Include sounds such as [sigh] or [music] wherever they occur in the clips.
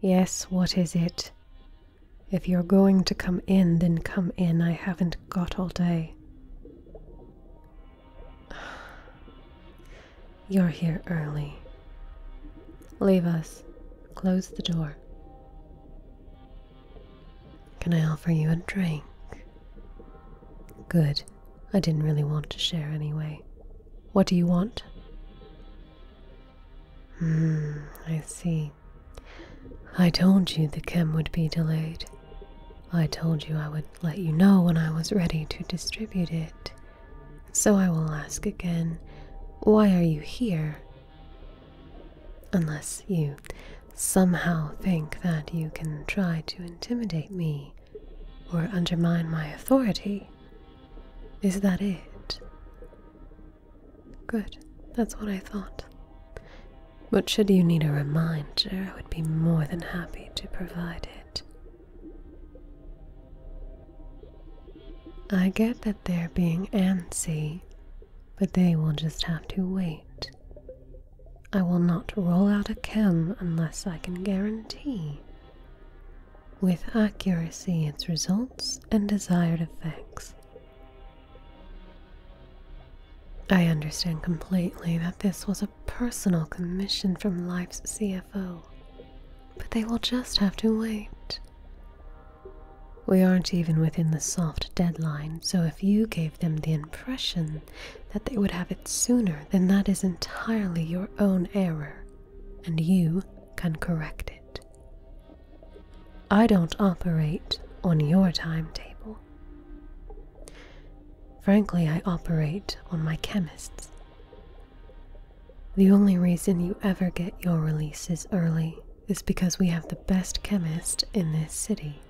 Yes, what is it? If you're going to come in, then come in. I haven't got all day. [sighs] You're here early. Leave us. Close the door. Can I offer you a drink? Good. I didn't really want to share anyway. What do you want? Hmm, I see. I told you the chem would be delayed. I told you I would let you know when I was ready to distribute it. So I will ask again why are you here? Unless you somehow think that you can try to intimidate me or undermine my authority. Is that it? Good, that's what I thought. But should you need a reminder, I would be more than happy to provide it. I get that they're being antsy, but they will just have to wait. I will not roll out a chem unless I can guarantee with accuracy its results and desired effects. I understand completely that this was a personal commission from Life's CFO, but they will just have to wait. We aren't even within the soft deadline, so if you gave them the impression that they would have it sooner, then that is entirely your own error and you can correct it. I don't operate on your timetable. Frankly, I operate on my chemist's. The only reason you ever get your releases early is because we have the best chemist in this city.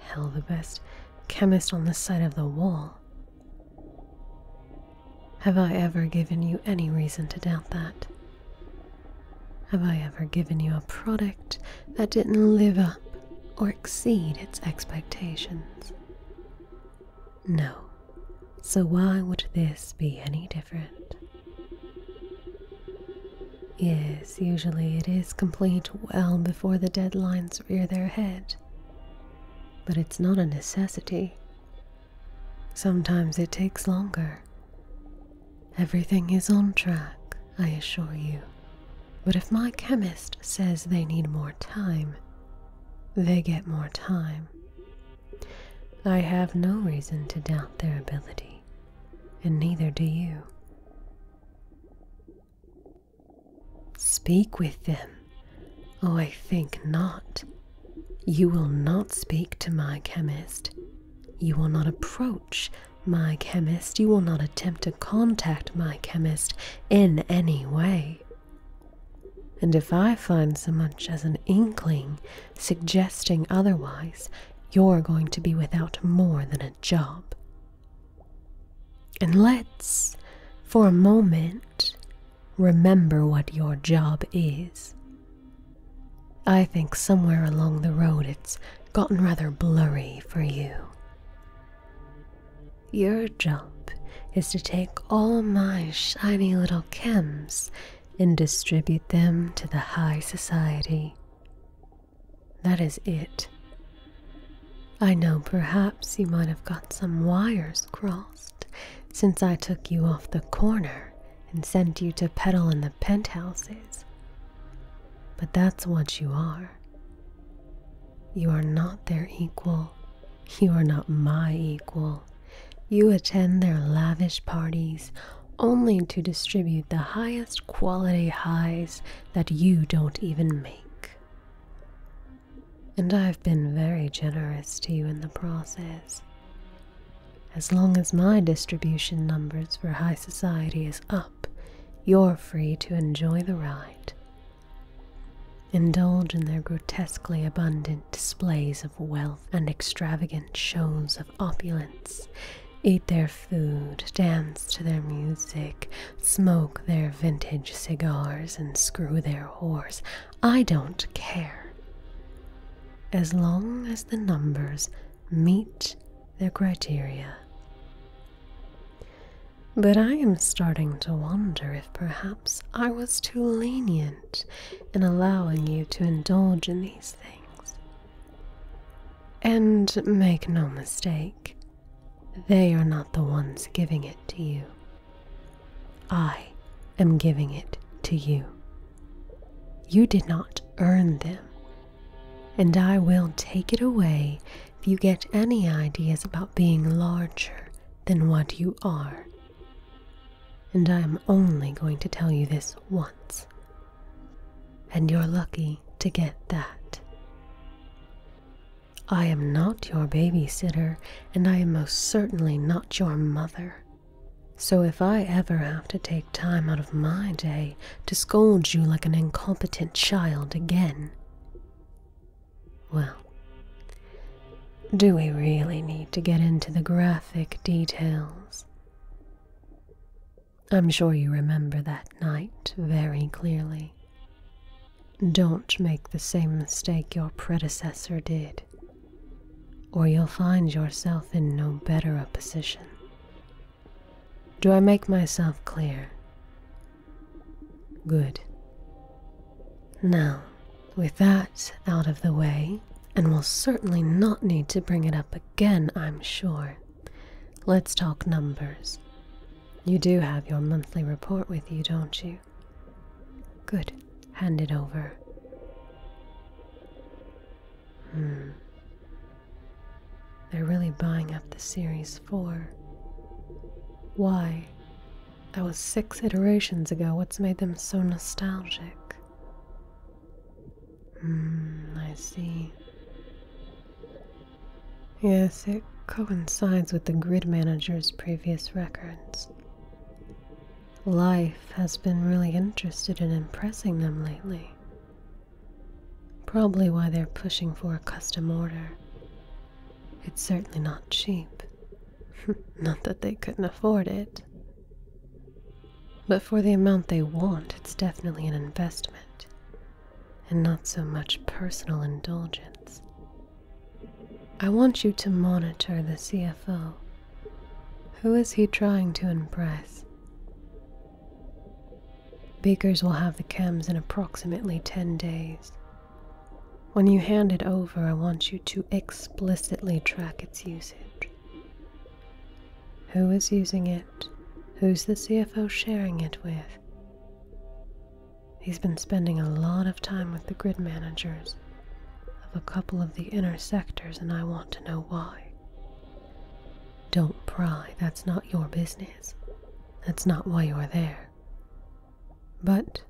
Hell, the best chemist on the side of the wall have I ever given you any reason to doubt that? Have I ever given you a product that didn't live up or exceed its expectations? No. So why would this be any different? Yes, usually it is complete well before the deadlines rear their head. But it's not a necessity Sometimes it takes longer. Everything is on track, I assure you. But if my chemist says they need more time, they get more time. I have no reason to doubt their ability, and neither do you. Speak with them. Oh, I think not. You will not speak to my chemist. You will not approach my chemist. You will not attempt to contact my chemist in any way. And if I find so much as an inkling suggesting otherwise, you're going to be without more than a job. And let's, for a moment, Remember what your job is. I think somewhere along the road it's gotten rather blurry for you. Your job is to take all my shiny little chems and distribute them to the high society. That is it. I know perhaps you might have got some wires crossed since I took you off the corner and sent you to peddle in the penthouses. But that's what you are. You are not their equal. You are not my equal. You attend their lavish parties only to distribute the highest quality highs that you don't even make and I've been very generous to you in the process. As long as my distribution numbers for high society is up, you're free to enjoy the ride. Indulge in their grotesquely abundant displays of wealth and extravagant shows of opulence. Eat their food, dance to their music, smoke their vintage cigars, and screw their horse I don't care. As long as the numbers meet their criteria. But I am starting to wonder if perhaps I was too lenient in allowing you to indulge in these things. And make no mistake, they are not the ones giving it to you. I am giving it to you. You did not earn them, and I will take it away if you get any ideas about being larger than what you are. And I am only going to tell you this once, and you're lucky to get that. I am not your babysitter, and I am most certainly not your mother. So if I ever have to take time out of my day to scold you like an incompetent child again, well, do we really need to get into the graphic details? I'm sure you remember that night very clearly. Don't make the same mistake your predecessor did, or you'll find yourself in no better a position. Do I make myself clear? Good. Now, with that out of the way, and we'll certainly not need to bring it up again, I'm sure, let's talk numbers. You do have your monthly report with you, don't you? Good. Hand it over. Hmm. They're really buying up the Series 4. Why? That was six iterations ago. What's made them so nostalgic? Hmm, I see. Yes, it coincides with the grid manager's previous records. Life has been really interested in impressing them lately. Probably why they're pushing for a custom order. It's certainly not cheap. [laughs] not that they couldn't afford it. But for the amount they want, it's definitely an investment, and not so much personal indulgence. I want you to monitor the CFO. Who is he trying to impress? Bakers will have the chems in approximately 10 days. When you hand it over, I want you to explicitly track its usage. Who is using it? Who's the CFO sharing it with? He's been spending a lot of time with the grid managers of a couple of the inner sectors, and I want to know why. Don't pry, that's not your business. That's not why you're there. But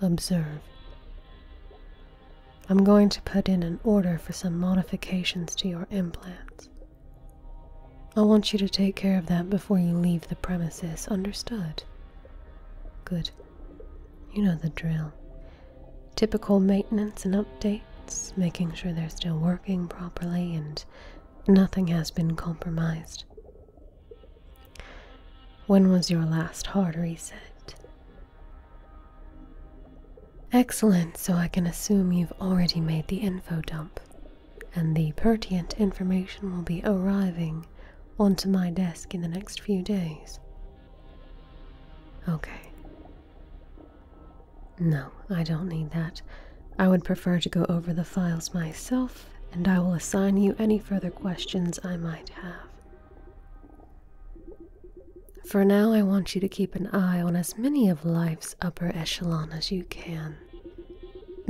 observe. I'm going to put in an order for some modifications to your implants. I want you to take care of that before you leave the premises, understood? Good. You know the drill. Typical maintenance and updates, making sure they're still working properly and nothing has been compromised. When was your last hard reset? Excellent, so I can assume you've already made the info dump, and the pertinent information will be arriving onto my desk in the next few days? Okay. No, I don't need that. I would prefer to go over the files myself, and I will assign you any further questions I might have. For now, I want you to keep an eye on as many of life's upper echelon as you can.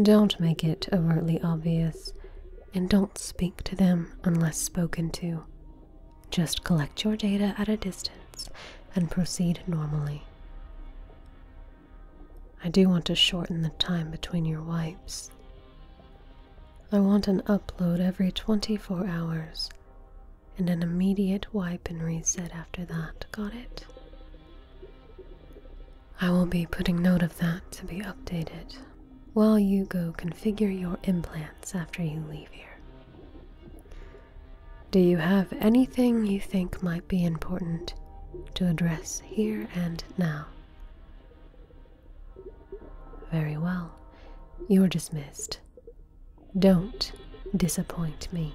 Don't make it overtly obvious and don't speak to them unless spoken to. Just collect your data at a distance and proceed normally. I do want to shorten the time between your wipes. I want an upload every 24 hours and an immediate wipe and reset after that. Got it? I will be putting note of that to be updated while you go configure your implants after you leave here. Do you have anything you think might be important to address here and now? Very well. You're dismissed. Don't disappoint me.